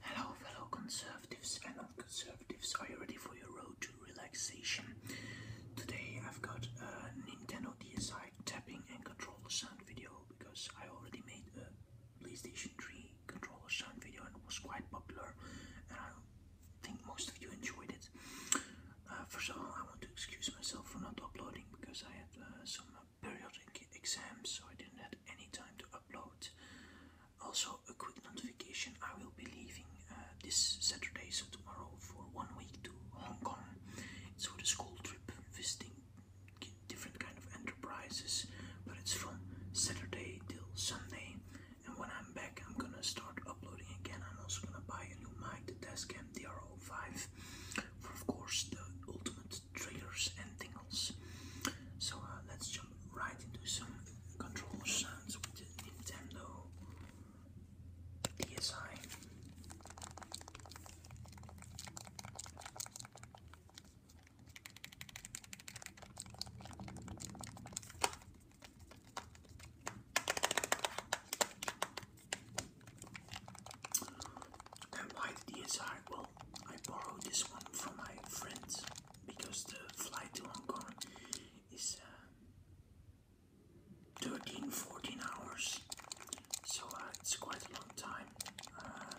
Hello, fellow conservatives and non conservatives. Are you ready for your road to relaxation? Today I've got a uh, Nintendo DSi tapping and controller sound video because I already made a PlayStation 3 controller sound video and it was quite popular, and I think most of you enjoyed it. Uh, first of all, I want to excuse myself for not uploading because I had uh, some periodic exams, so I didn't have any time to upload. Also, a quick notification I will be leaving uh, this Saturday, so tomorrow, for one week to Hong Kong. It's for the school trip, visiting different kind of enterprises, but it's from Saturday till Sunday. And when I'm back, I'm gonna start uploading again. I'm also gonna buy a new mic, the Tascam DRO5 for of course the ultimate triggers and things else. So uh, let's jump right into some controller sounds with the Nintendo DSi. And why the DSi? I borrowed this one from my friends because the flight to Hong Kong is uh, 13 14 hours, so uh, it's quite a long time. Uh,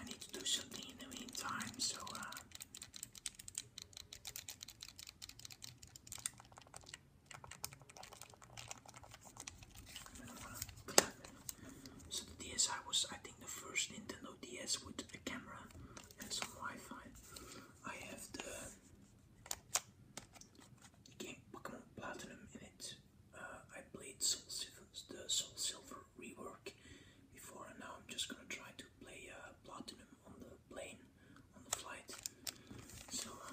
I need to do something in the meantime, so uh, so the DSi was, I think, the first Nintendo DS with a camera and some Wi-Fi. I have the game Pokemon Platinum in it. Uh, I played Soul Silver, the Soul Silver rework before, and now I'm just gonna try to play uh, Platinum on the plane, on the flight. So uh,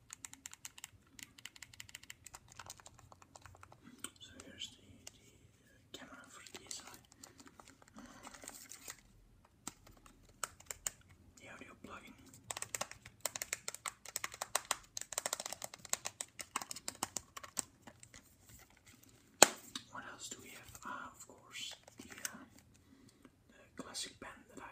So here's the, camera for The audio plugin. What else do we have? Ah, of course, the, uh, the classic pen that I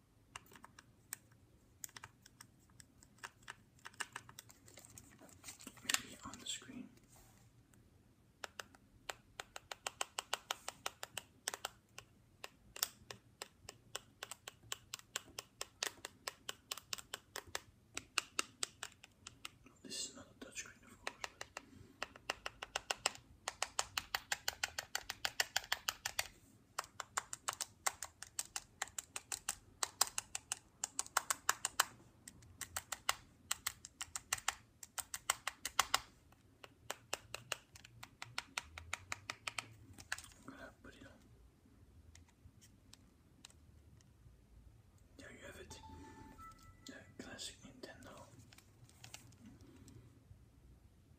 Maybe on the screen. This is not a touchscreen, of course. Voilà, poli là. There you have it. The classic Nintendo. I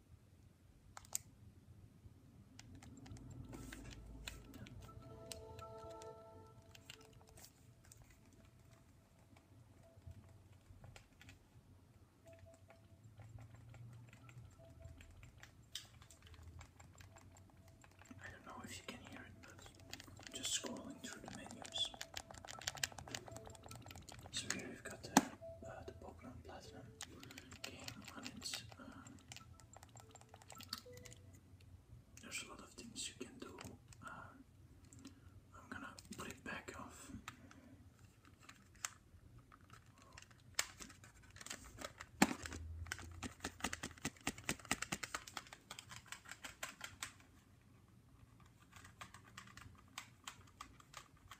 don't know if you can hear it, but I'm just scrolling through the menus. So here we've got the, uh, the popular platinum game uh, there's a lot of things you can do. Uh, I'm gonna put it back off. Tap that extravaganza.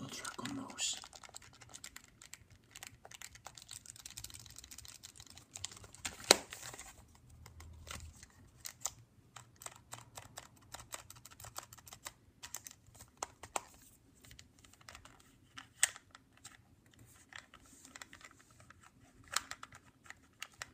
Ultra combos.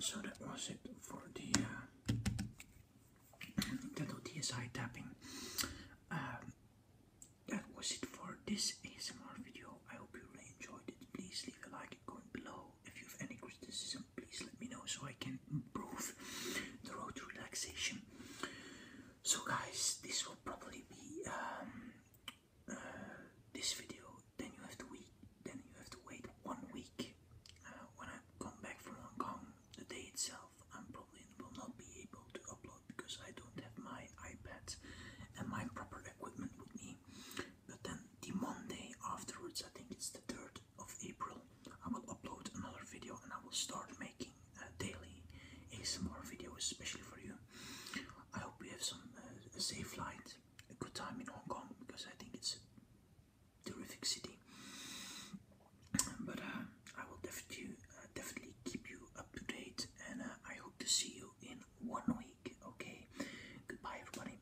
So that was it for the uh, Nintendo DSi tapping. Um, that was it for this ASMR video. I hope you really enjoyed it. Please leave a like and comment below if you have any criticism, please let me know so I can improve the road to relaxation. So, guys, this will probably be um, uh, this video. Then you have to wait. Then you have to wait one week uh, when I come back from Hong Kong. The day itself, I am probably will not be able to upload because I don't have my iPad and my proper equipment with me. But then the Monday afterwards, I think it's the third of April I will upload another video and I will start making uh, daily ASMR videos especially for you. I hope you have some uh, safe flight, a good time in Hong Kong because I think it's a terrific city. But uh, I will definitely, definitely keep you up to date and I hope to see you in one week. Okay, goodbye everybody.